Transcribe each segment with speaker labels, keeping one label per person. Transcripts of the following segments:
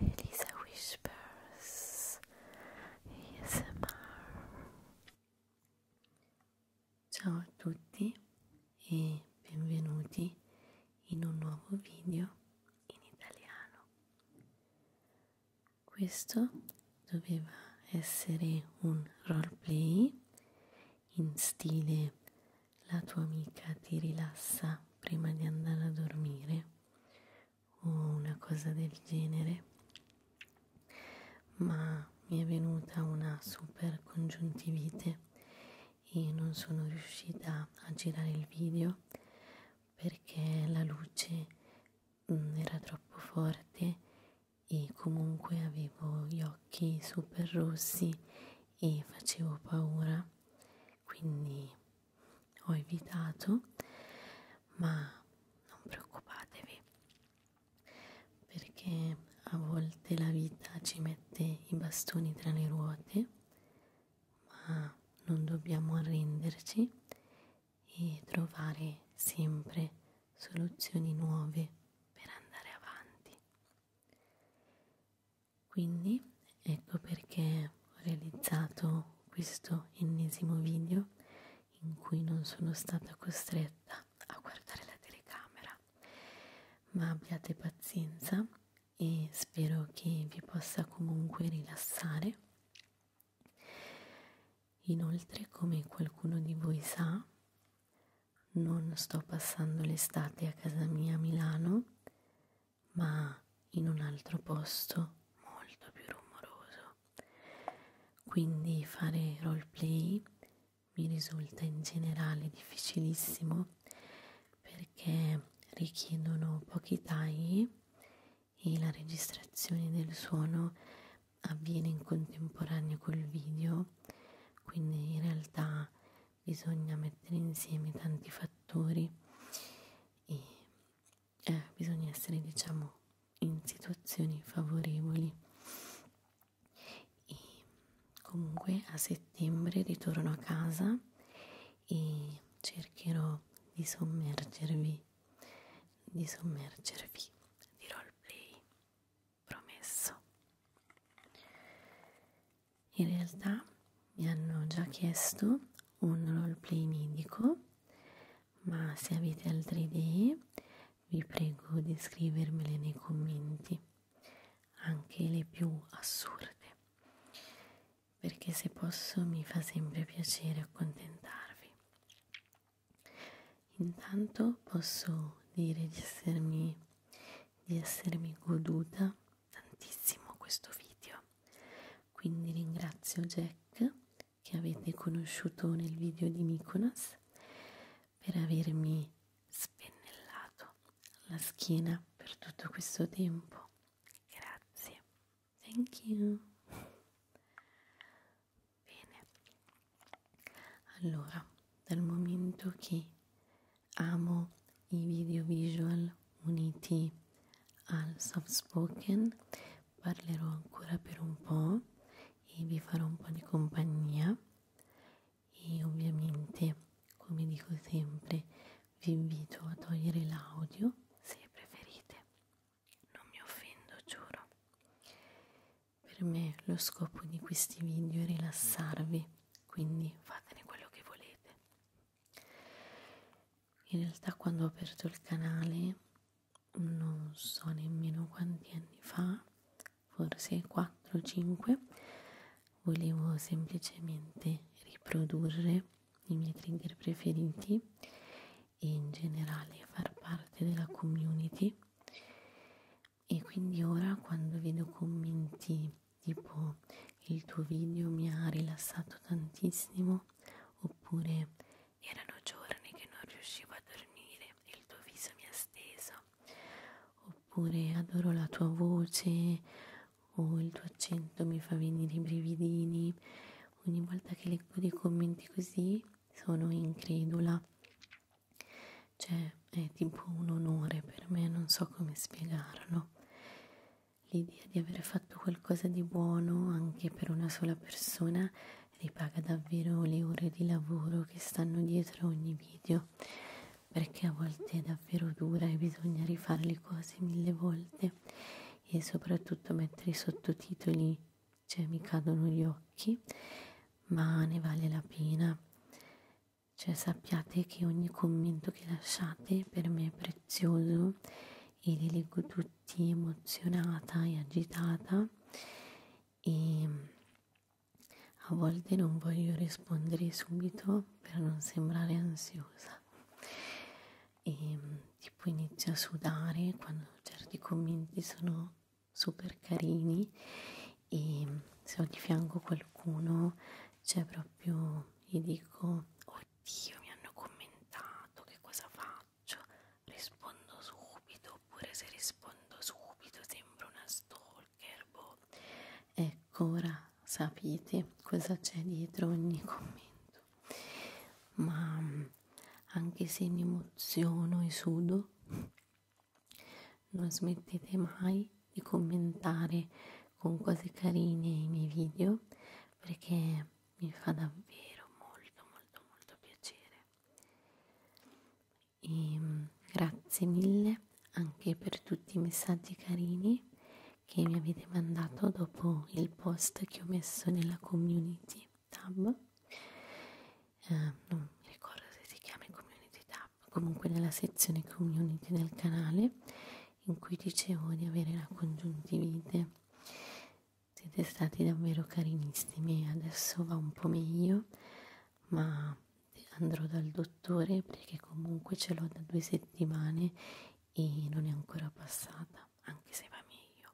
Speaker 1: Elisa Whispers ASMR Ciao a tutti e benvenuti in un nuovo video in italiano. Questo doveva essere un roleplay in stile la tua amica ti rilassa prima di andare a dormire una cosa del genere, ma mi è venuta una super congiuntivite e non sono riuscita a girare il video perché la luce mm, era troppo forte e comunque avevo gli occhi super rossi e facevo paura quindi ho evitato, ma non preoccupatevi perché a volte la vita ci mette i bastoni tra le ruote, ma non dobbiamo arrenderci e trovare sempre soluzioni nuove per andare avanti. Quindi ecco perché ho realizzato questo ennesimo video in cui non sono stata costretta a guardare la telecamera ma abbiate pazienza e spero che vi possa comunque rilassare inoltre come qualcuno di voi sa non sto passando l'estate a casa mia a Milano ma in un altro posto molto più rumoroso. Quindi fare roleplay mi risulta in generale difficilissimo perché richiedono pochi tagli e la registrazione del suono avviene in contemporanea col video, quindi in realtà bisogna mettere insieme tanti fattori e eh, bisogna essere diciamo in situazioni favorevoli e comunque a settembre ritorno a casa e cercherò di sommergervi di sommergervi di roleplay promesso in realtà mi hanno già chiesto un roleplay nidico, ma se avete altre idee vi prego di scrivermele nei commenti, anche le più assurde, perché se posso mi fa sempre piacere accontentarvi. Intanto posso dire di essermi, di essermi goduta tantissimo questo video quindi ringrazio Jack che avete conosciuto nel video di Mykonos per avermi spennellato la schiena per tutto questo tempo. Grazie. Thank you. Bene. Allora, dal momento che amo i video visual uniti al soft spoken parlerò ancora per un po' e vi farò un po' di compagnia e ovviamente come dico sempre vi invito a togliere l'audio se preferite non mi offendo giuro per me lo scopo di questi video è rilassarvi quindi fatene quello che volete in realtà quando ho aperto il canale non so nemmeno quanti anni fa forse 4 o 5 volevo semplicemente riprodurre i miei trigger preferiti e in generale far parte della community e quindi ora quando vedo commenti tipo il tuo video mi ha rilassato tantissimo oppure erano giorni che non riuscivo a dormire e il tuo viso mi ha steso, oppure adoro la tua voce o il tuo accento mi fa venire i brividini. Ogni volta che leggo dei commenti così sono incredula. Cioè, è tipo un onore per me, non so come spiegarlo. L'idea di aver fatto qualcosa di buono anche per una sola persona ripaga davvero le ore di lavoro che stanno dietro ogni video, perché a volte è davvero dura e bisogna rifare le cose mille volte e soprattutto mettere i sottotitoli, cioè mi cadono gli occhi, ma ne vale la pena. Cioè sappiate che ogni commento che lasciate per me è prezioso e li leggo tutti emozionata e agitata e mm, a volte non voglio rispondere subito per non sembrare ansiosa e mm, tipo inizio a sudare quando certi commenti sono super carini e mm, se ho di fianco qualcuno c'è cioè proprio gli dico oddio mi hanno commentato che cosa faccio faccio? Rispondo subito, oppure se rispondo subito sembro una stalker, boh. Ecco, ora sapete cosa c'è dietro ogni commento. Ma anche se mi emoziono e sudo, non smettete mai di commentare con cose carine i miei video perché mi fa davvero molto molto molto piacere e ehm, grazie mille anche per tutti i messaggi carini che mi avete mandato dopo il post che ho messo nella community tab eh, non mi ricordo se si chiama community tab comunque nella sezione community del canale in cui dicevo di avere la congiuntivite siete stati davvero carinissimi adesso va un po' meglio ma andrò dal dottore perché comunque ce l'ho da due settimane e non è ancora passata anche se va meglio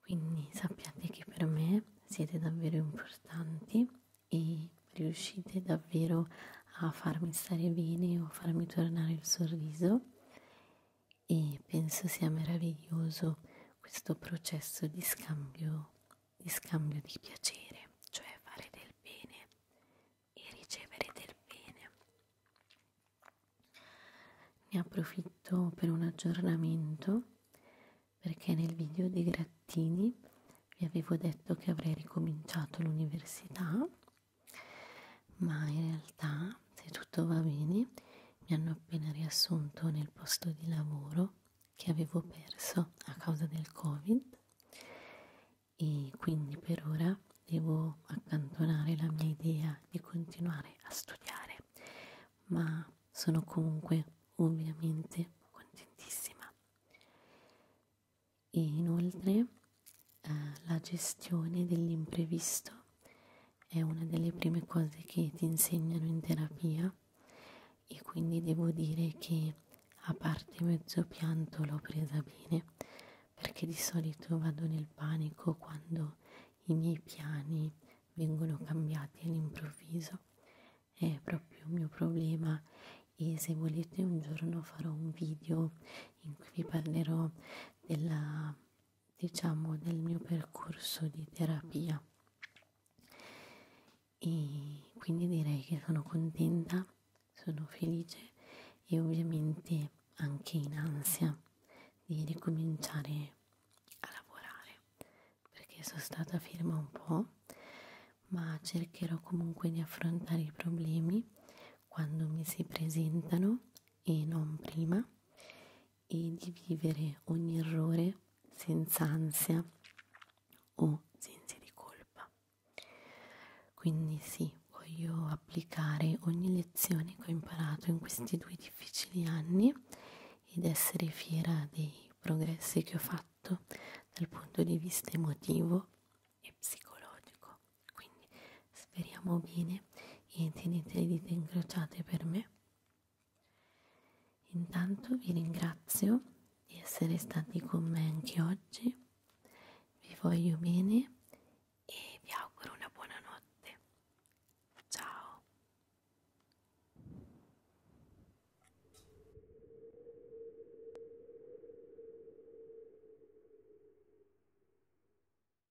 Speaker 1: quindi sappiate che per me siete davvero importanti e riuscite davvero a farmi stare bene o a farmi tornare il sorriso e penso sia meraviglioso questo processo di scambio di scambio di piacere, cioè fare del bene e ricevere del bene. Ne approfitto per un aggiornamento perché nel video di Grattini vi avevo detto che avrei ricominciato l'università ma in realtà se tutto va bene mi hanno appena riassunto nel posto di lavoro che avevo perso a causa del covid e quindi per ora devo accantonare la mia idea di continuare a studiare ma sono comunque ovviamente contentissima e inoltre eh, la gestione dell'imprevisto è una delle prime cose che ti insegnano in terapia e quindi devo dire che a parte mezzo pianto l'ho presa bene perché di solito vado nel panico quando i miei piani vengono cambiati all'improvviso è proprio il mio problema e se volete un giorno farò un video in cui vi parlerò della, diciamo, del mio percorso di terapia. E quindi direi che sono contenta, sono felice e ovviamente anche in ansia di ricominciare a lavorare perché sono stata ferma un po' ma cercherò comunque di affrontare i problemi quando mi si presentano e non prima e di vivere ogni errore senza ansia o senza di colpa. Quindi sì, voglio applicare ogni lezione che ho imparato in questi due difficili anni ed essere fiera dei progressi che ho fatto dal punto di vista emotivo e psicologico quindi speriamo bene e tenete le dita incrociate per me intanto vi ringrazio di essere stati con me anche oggi vi voglio bene e vi auguro una buona notte ciao